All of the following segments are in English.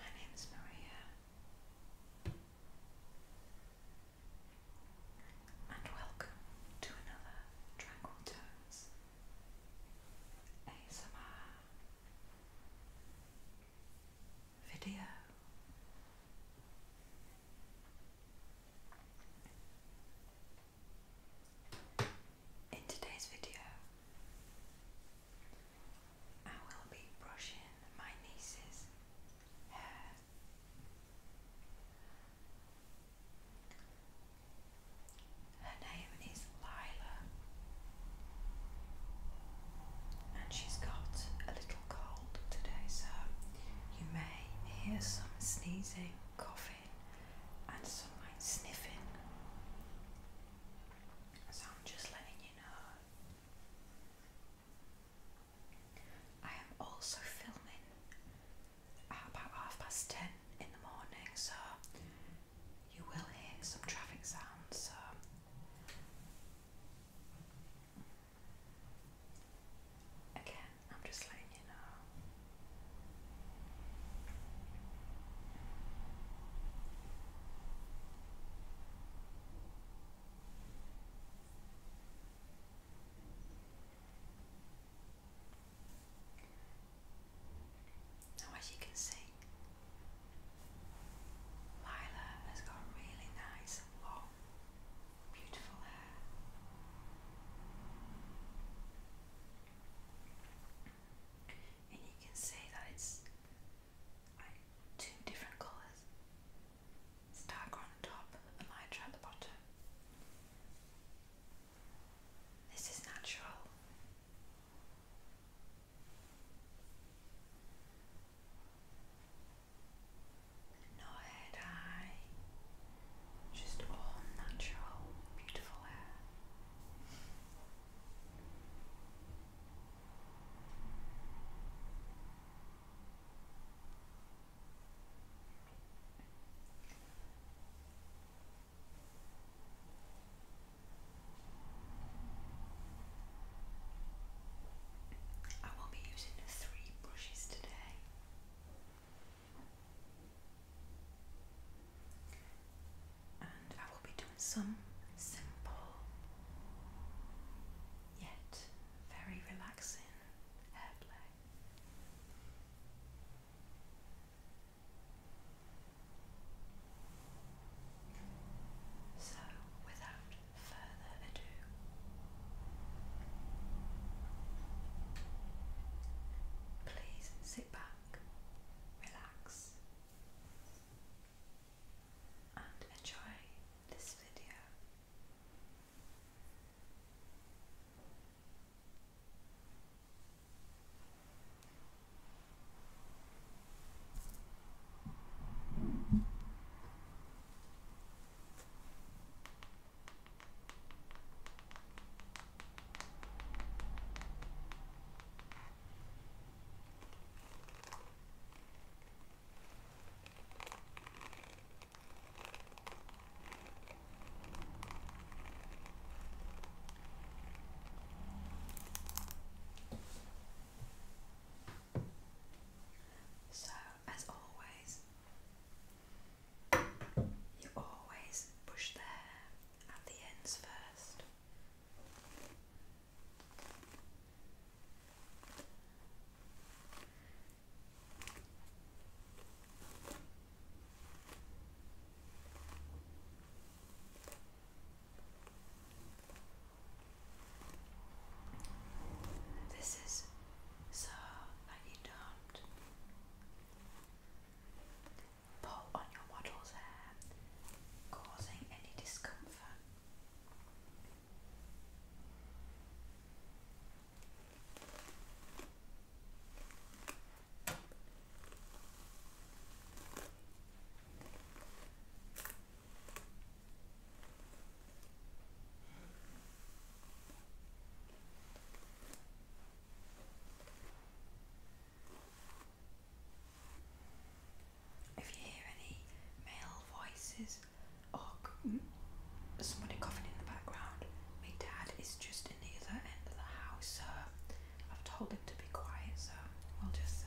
My name's Maria, and welcome to another Triangle Tones ASMR video. In today's video, I will be brushing my niece's hair. Her name is Lila, and she's got a little cold today, so you may hear some sneezing, coughing and some like sniffing. So I'm just letting you know. I am also filming at about half past ten in the morning, so you will hear some traffic sounds. So. Again, I'm just letting now, as you can see, Lila has got really nice, long, beautiful hair and you can see that it's like two different colours. darker on top lighter at the bottom. This is natural. No hair dye, just all natural, beautiful hair. I will be using three brushes today. And I will be doing some simple yet very relaxing hair play. So, without further ado, please sit back relax, and enjoy this video. So, as always, you always push there at the ends first. This is so like you pull on your model's hair, causing any discomfort. If you hear any male voices or somebody coughing in the background, my dad is just in the other end of the house, so I've told him to be quiet, so we'll just see.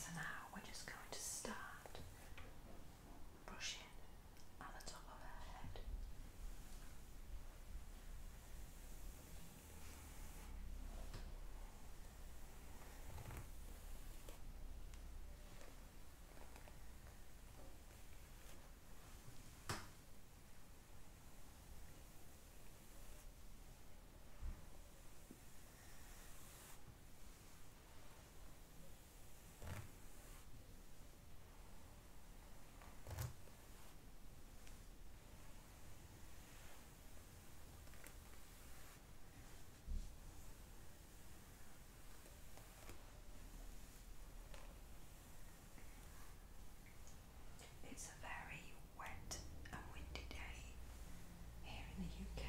So now we're just going to start Brush it at the top of her head. It's a very wet and windy day here in the UK.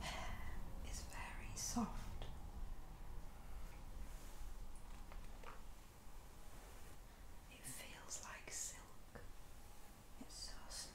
It's very soft. It feels like silk. It's so smooth.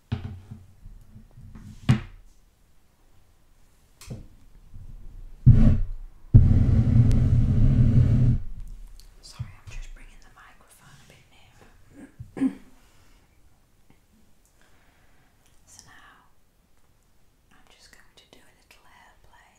Sorry, I'm just bringing the microphone a bit nearer. so now I'm just going to do a little airplay.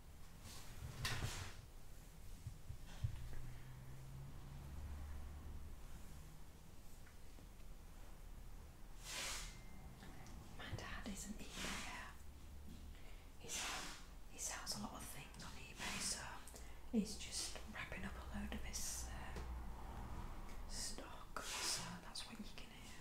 My dad is an eBayer. He sells, a lot of things on eBay, so he's just wrapping up a load of his uh, stock, so that's what you can hear.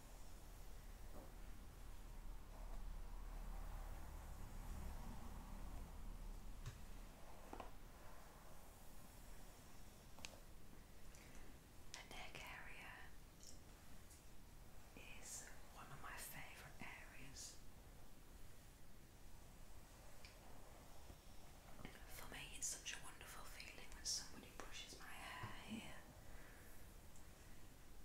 The neck area is one of my favorite areas. For me, it's such a wonderful feeling when somebody brushes my hair here.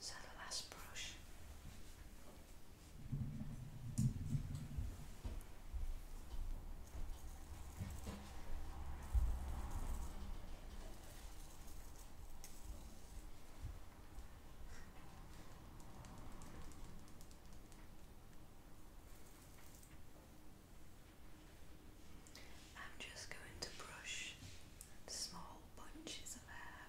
So the last brush. I'm just going to brush small bunches of hair.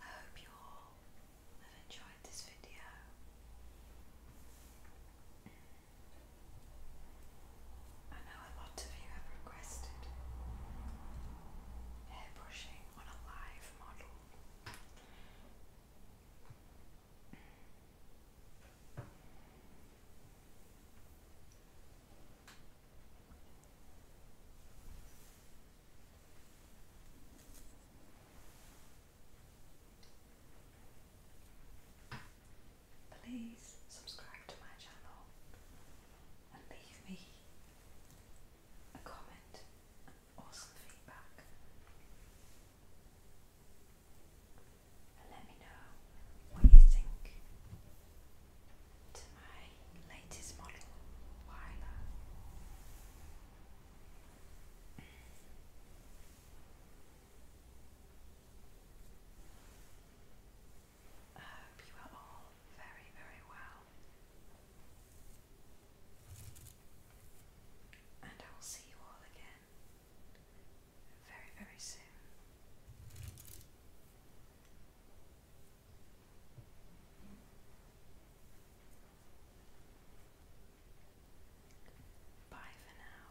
I hope you all have enjoyed this video. I know a lot of you have requested airbrushing on a live model. Please subscribe to my channel and leave me a comment or feedback and let me know what you think to my latest model, I hope you are all very, very well. And I will see you all again very, very soon. Bye for now.